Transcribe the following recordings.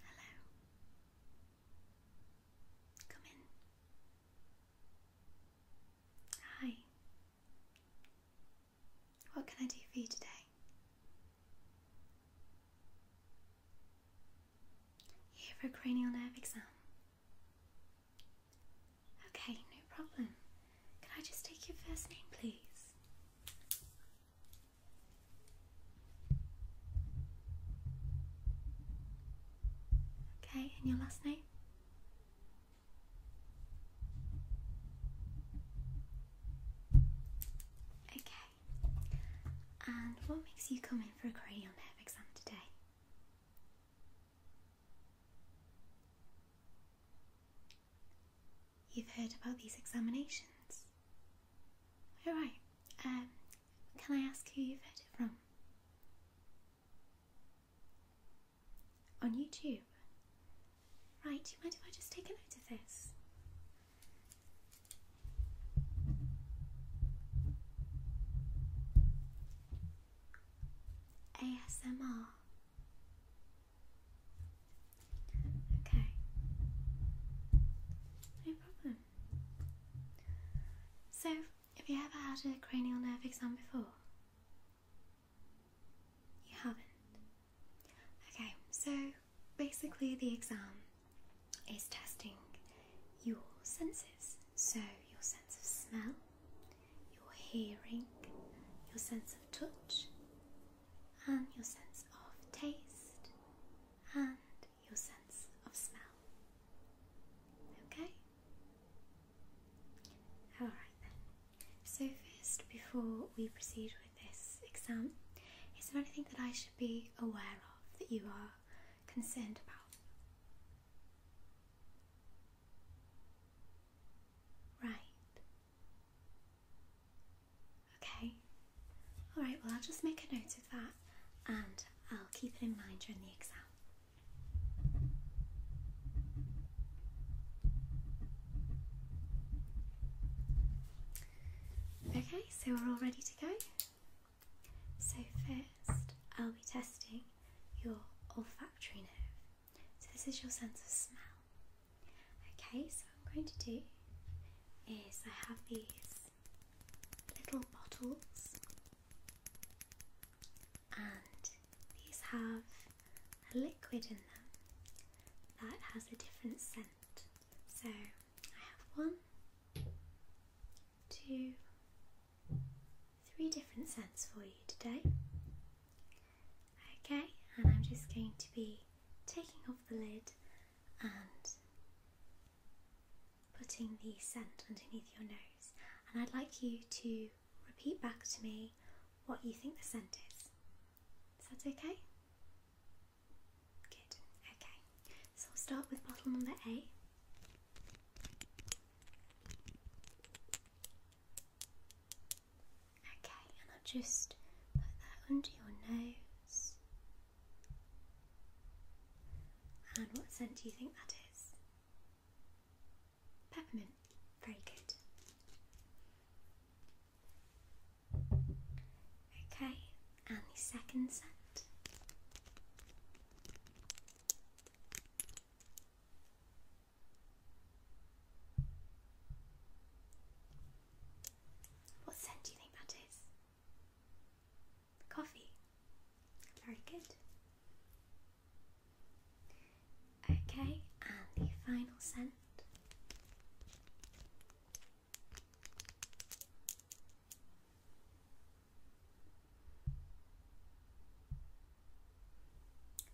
Hello. Come in. Hi. What can I do for you today? You're here for a cranial nerve exam? Okay, no problem. Can I just take your first name, please? Okay, and your last name? Okay. And what makes you come in for a cranial nerve exam today? You've heard about these examinations? Right? Um, can I ask who you've heard it from? On YouTube? Right, do you mind if I just take a note of this? ASMR. Okay. No problem. So, have you ever had a cranial nerve exam before? You haven't? Okay, so basically, the exam is testing your senses. So, your sense of smell, your hearing, your sense of touch, and your sense of taste and your sense of smell. Okay? Alright then. So, first, before we proceed with this exam, is there anything that I should be aware of that you are concerned about? Right, Okay. Alright, well, I'll just make a note of that and I'll keep it in mind during the exam. Okay, so we're all ready to go. So, first, I'll be testing your olfactory nerve. So this is your sense of smell. Okay, so what I'm going to do is I have these little bottles and these have a liquid in them that has a different scent. So I have one, two, three different scents for you today. Okay, and I'm just going to be taking off the lid and putting the scent underneath your nose. And I'd like you to repeat back to me what you think the scent is. Is that okay? Good, okay. So I'll start with bottle number A. Okay, and I'll just put that under your nose. And what scent do you think that is? Peppermint. Very good. Okay, and the second scent. What scent do you think that is? Coffee. Very good. Okay, and the final scent.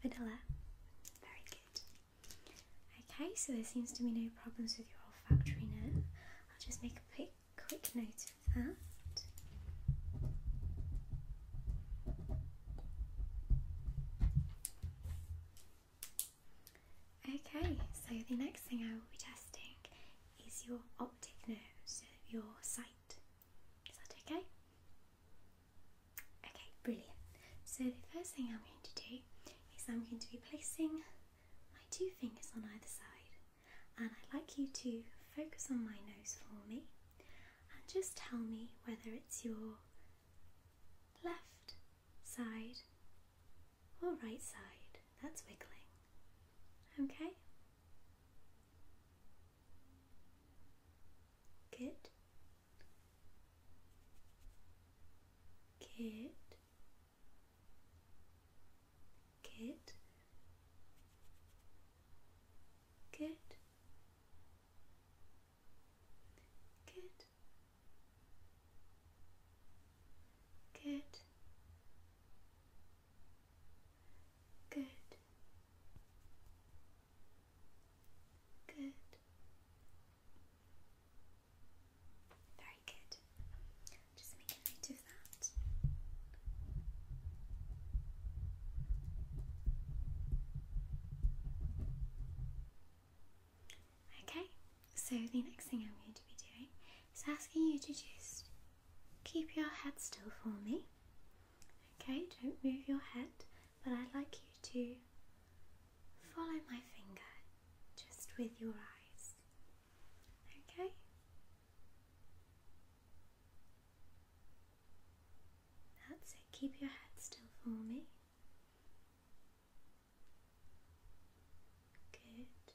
Vanilla. Very good. Okay, so there seems to be no problems with your olfactory nerve. I'll just make a quick, note of that. Okay, so the next thing I will be testing is your optic nerve, so your sight. Is that okay? Okay, brilliant. So the first thing I'm going to do is I'm going to be placing my two fingers on either side, and I'd like you to focus on my nose for me and just tell me whether it's your left side or right side that's wiggling. Okay? Good kid, kid, kid, kid, kid, kid. Good. Very good. Just make a note of that. Okay, so the next thing I'm going to be doing is asking you to just keep your head still for me. Okay, don't move your head, but I'd like you to follow my finger just with your eyes. Okay? That's it, keep your head still for me. Good.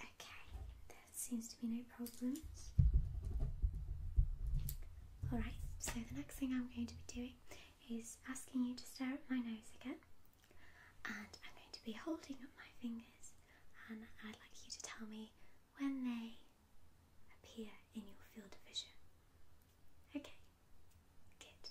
Okay, that seems to be no problems. Alright, so the next thing I'm going to be doing is asking you to stare at my nose again. And I'm going to be holding up my fingers, and I'd like you to tell me when they appear in your field of vision. Okay, good.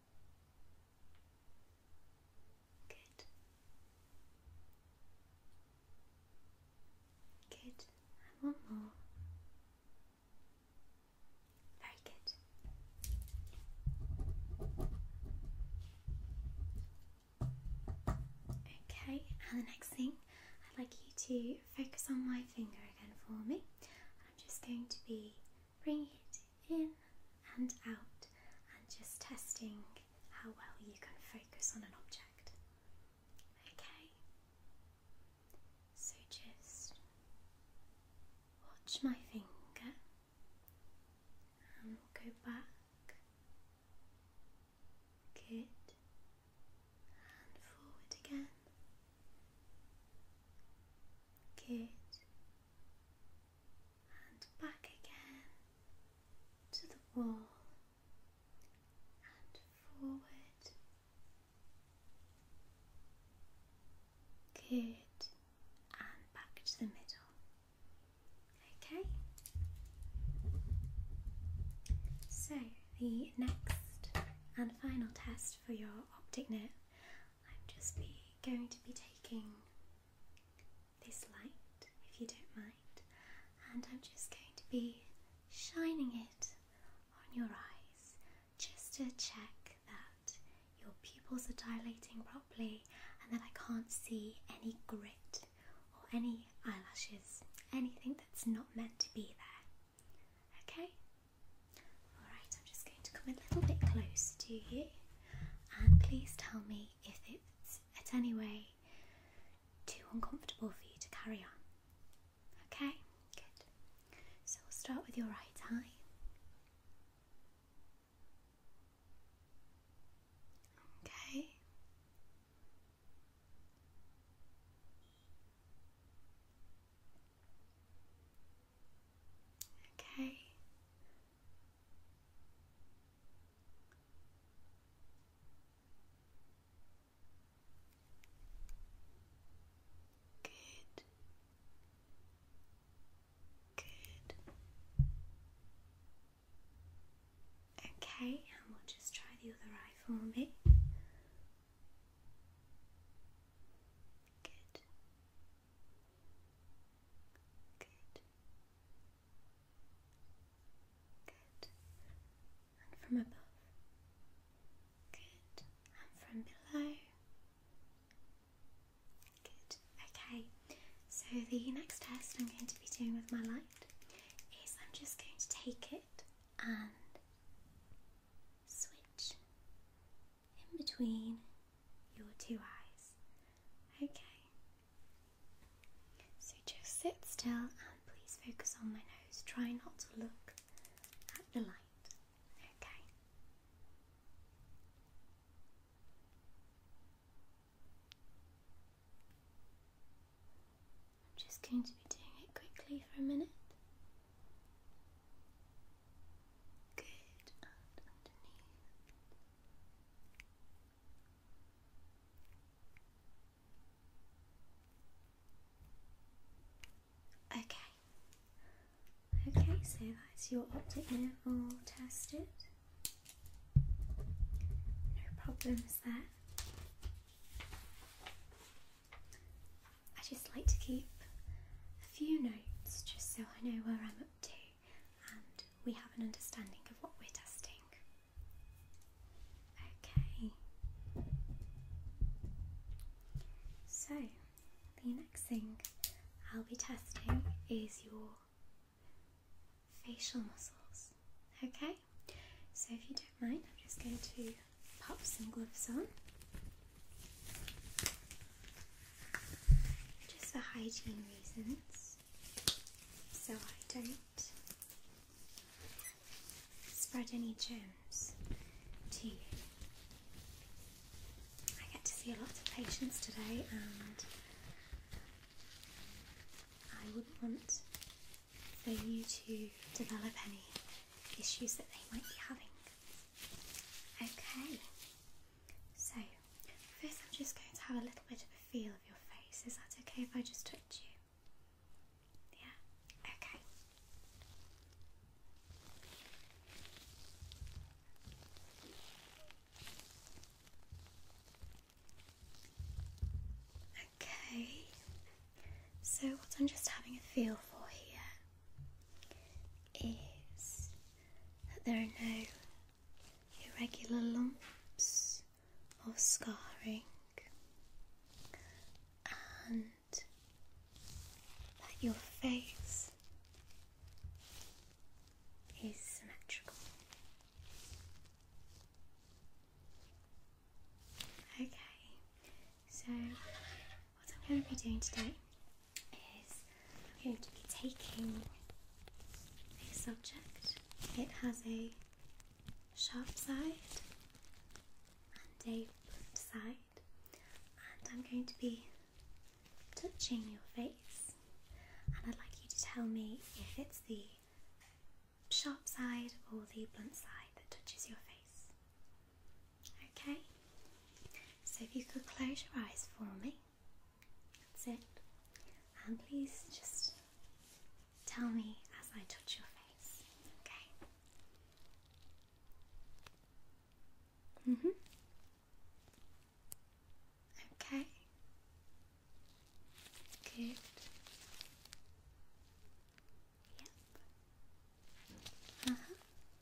Good. Good. And one more. Very good. Okay, and the next thing I'd like you to focus on my finger again for me. I'm just going to be bringing it in and out, and just testing how well you can focus on an object. Okay, so just watch my finger and go back, good, and forward again. Good, and back again to the wall and forward. Good, and back to the middle. Okay, so the next and final test for your optic net. I'm just going to be taking this light, if you don't mind, and I'm just going to be shining it on your eyes just to check that your pupils are dilating properly and that I can't see any grit or any eyelashes, anything that's not meant to be there. Okay? Alright, I'm just going to come a little bit close to you and please tell me if it's at any way too uncomfortable for you to carry on. Okay, good. So we'll start with your right eye. Okay. Okay. Good. Good. Okay, and we'll just try the other eye for me. Good. Good. Good. And from above. Good. And from below. Good. Okay. So the next test I'm going to be doing with my light is I'm just going to take it and switch in between your two eyes. Okay. So just sit still and please focus on my nose. Try not to look at the light. Okay. I'm just going to be doing it quickly for a minute. Okay. Okay, so that's your optic nerve all tested. No problems there. I just like to keep a few notes just so I know where I'm up to and we have an understanding of what we're testing. Okay, so the next thing I'll be testing is your facial muscles. Okay, so if you don't mind, I'm just going to pop some gloves on. Just for hygiene reasons, so I don't spread any germs to you. I get to see a lot of patients today, and I wouldn't want for you to develop any issues that they might be having. Okay, so first I'm just going to have a little bit of a feel of your face. Is that okay if I just touch you? Yeah, okay. Okay, so what I'm just having a feel for here is that there are no irregular lumps or scarring, and that your face is symmetrical. Okay, so what I'm going to be doing today is I'm going to be taking a subject. It has a sharp side and a blunt side, and I'm going to be touching your face. And I'd like you to tell me if it's the sharp side or the blunt side that touches your face. Okay, so if you could close your eyes for me, that's it. And please just tell me as I touch your face, okay? Mm hmm. Okay. Good. Yep. Uh huh.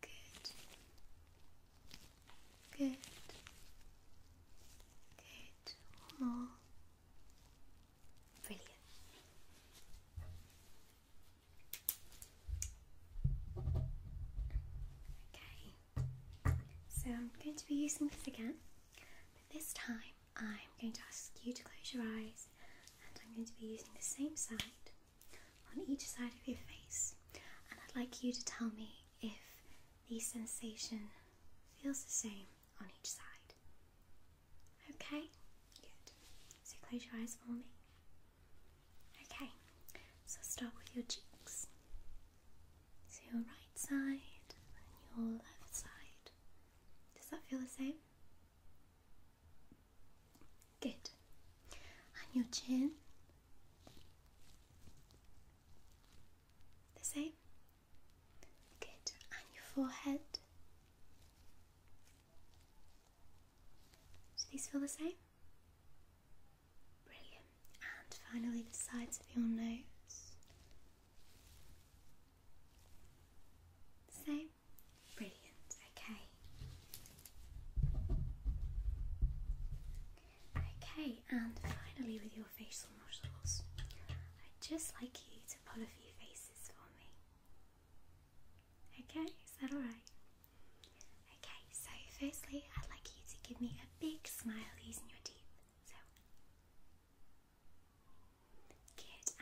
Good. Good. Good. One Brilliant. Okay. So I'm going to be using this again, but this time I'm going to ask you to close your eyes and I'm going to be using the same side on each side of your face. And I'd like you to tell me if the sensation feels the same on each side. Okay? Good. So close your eyes for me. Okay, so start with your cheeks. So your right side and your left side. Does that feel the same? Good. And your chin? The same? Good. And your forehead? Do these feel the same? Brilliant. And finally, the sides of your nose. same? Brilliant, okay. Okay, and finally with your facial muscles, I'd just like you to pull a few faces for me. Okay, is that alright? Okay, so firstly, I'd like you to give me a big smile using your teeth. So,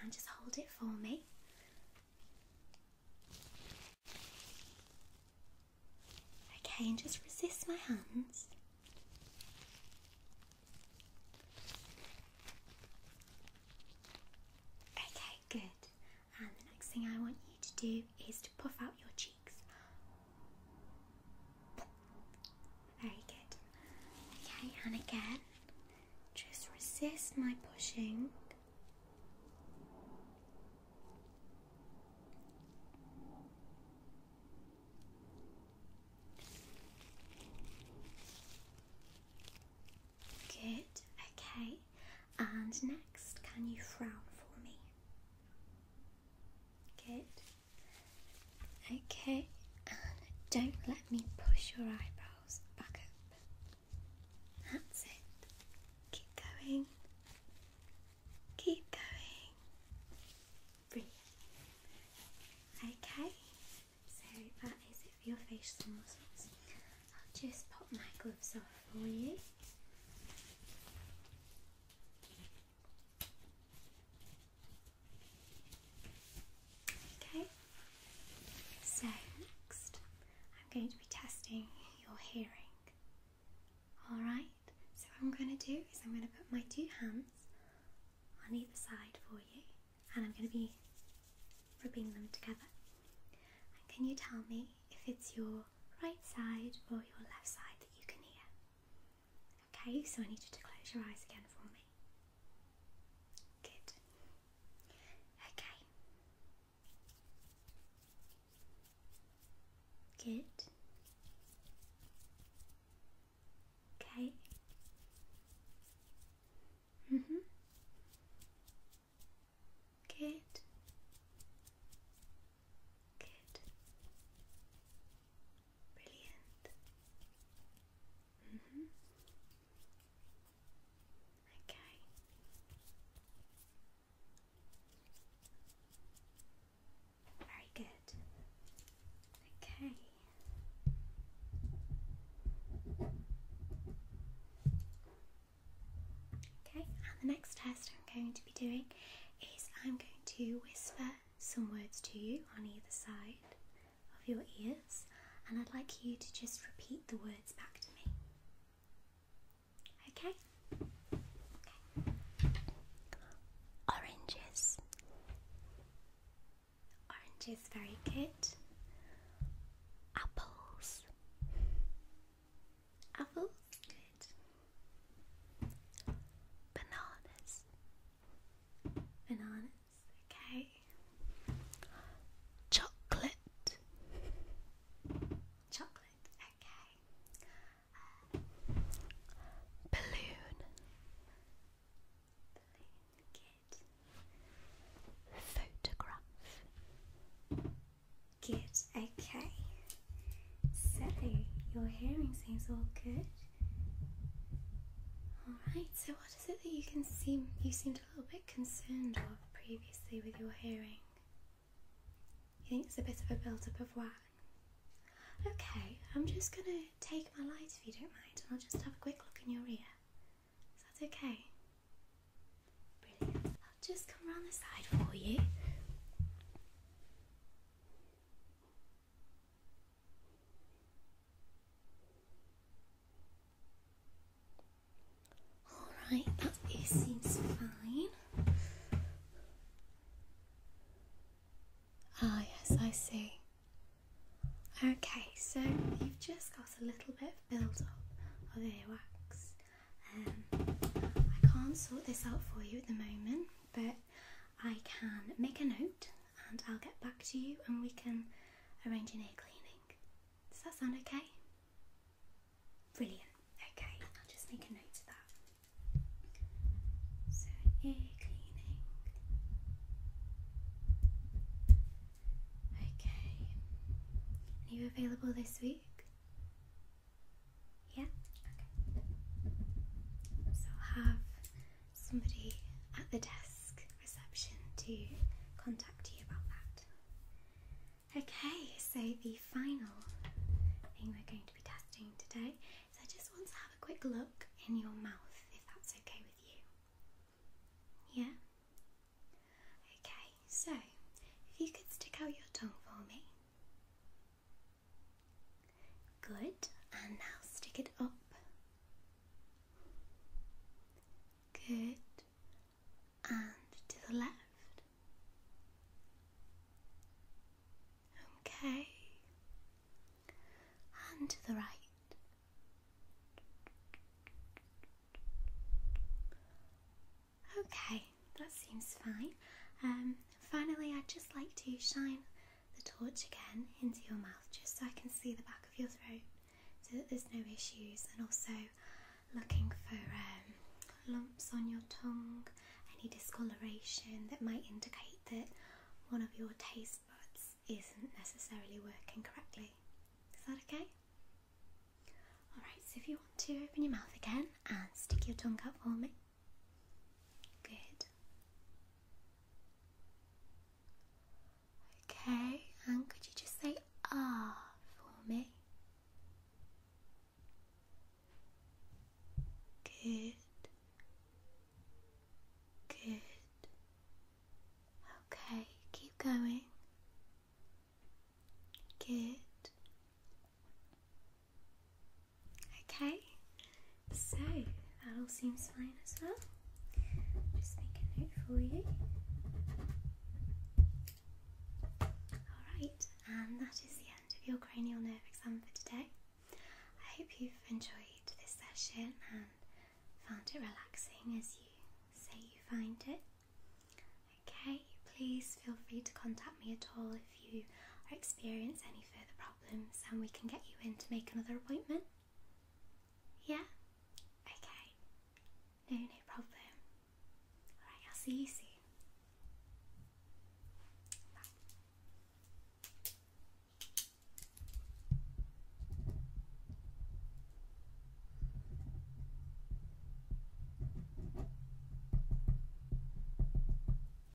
and just hold it for me. Okay, and just resist my hands. Okay, good. And the next thing I want you to do is to puff out your cheeks. Very good. Okay, and again, just resist my pushing. Good, okay. And next, can you frown for me? Good. Okay, don't let me push your eyebrows back up. That's it. Keep going. Keep going. Breathe. Okay, so that is it for your facial muscles. I'll just pop my gloves off for you. Okay, so next I'm going to be testing your hearing. Alright, so what I'm going to do is I'm going to put my two hands on either side for you and I'm going to be rubbing them together. And can you tell me if it's your right side or your left side that you can hear? Okay, so I need you to close your eyes again for me. Good. Okay. Good. Okay. Mhm. Good. Good. Brilliant. Mm-hmm. Okay. Very good. Okay. Okay, and the next test I'm going to be doing is I'm going to whisper some words to you on either side of your ears, and I'd like you to just repeat the words back to me. Okay? okay. Oranges. Oranges, very good. Apples. Apples, good. Bananas. Bananas. Okay. Chocolate. Chocolate. Okay. Uh, balloon. Balloon kid. Photograph. Good, okay. So your hearing seems all good. Alright, so what is it that you can seem you seemed a little bit concerned of previously with your hearing? You think it's a bit of a build-up of wax? Okay, I'm just gonna take my light if you don't mind, and I'll just have a quick look in your ear. Is that okay? Brilliant. I'll just come round the side for you. Alright, that is, seems fine. Ah, yes, I see. Okay, so you've just got a little bit of build up of earwax. Um, I can't sort this out for you at the moment, but I can make a note and I'll get back to you and we can arrange an ear cleaning. Does that sound okay? Brilliant. Okay, I'll just make a note of that. So, ear cleaning. Okay. Are you available this week? Yeah? Okay. So have somebody at the desk reception to contact you about that. Okay, so the final thing we're going to be testing today is I just want to have a quick look in your mouth if that's okay with you. Yeah? Okay, so if you could stick out your tongue for me. Good, and now stick it up. Good, and to the left. Okay, and to the right. Okay, that seems fine. Um, finally, I'd just like to shine the torch again into your mouth just so I can see the back of your throat so that there's no issues and also looking for um, lumps on your tongue, any discoloration that might indicate that one of your taste buds isn't necessarily working correctly. Is that okay? Alright, so if you want to open your mouth again and stick your tongue out for me. Good. Okay, and could you just say ah for me? Good. Good. Okay, keep going. Good. Okay, so that all seems fine as well. Just make a note for you. Alright, and that is the end of your cranial nerve exam for today. I hope you've enjoyed this session and found it relaxing as you say you find it. Okay, please feel free to contact me at all if you or experience any further problems and we can get you in to make another appointment? Yeah? Okay. No, no problem. Alright, I'll see you soon. Bye.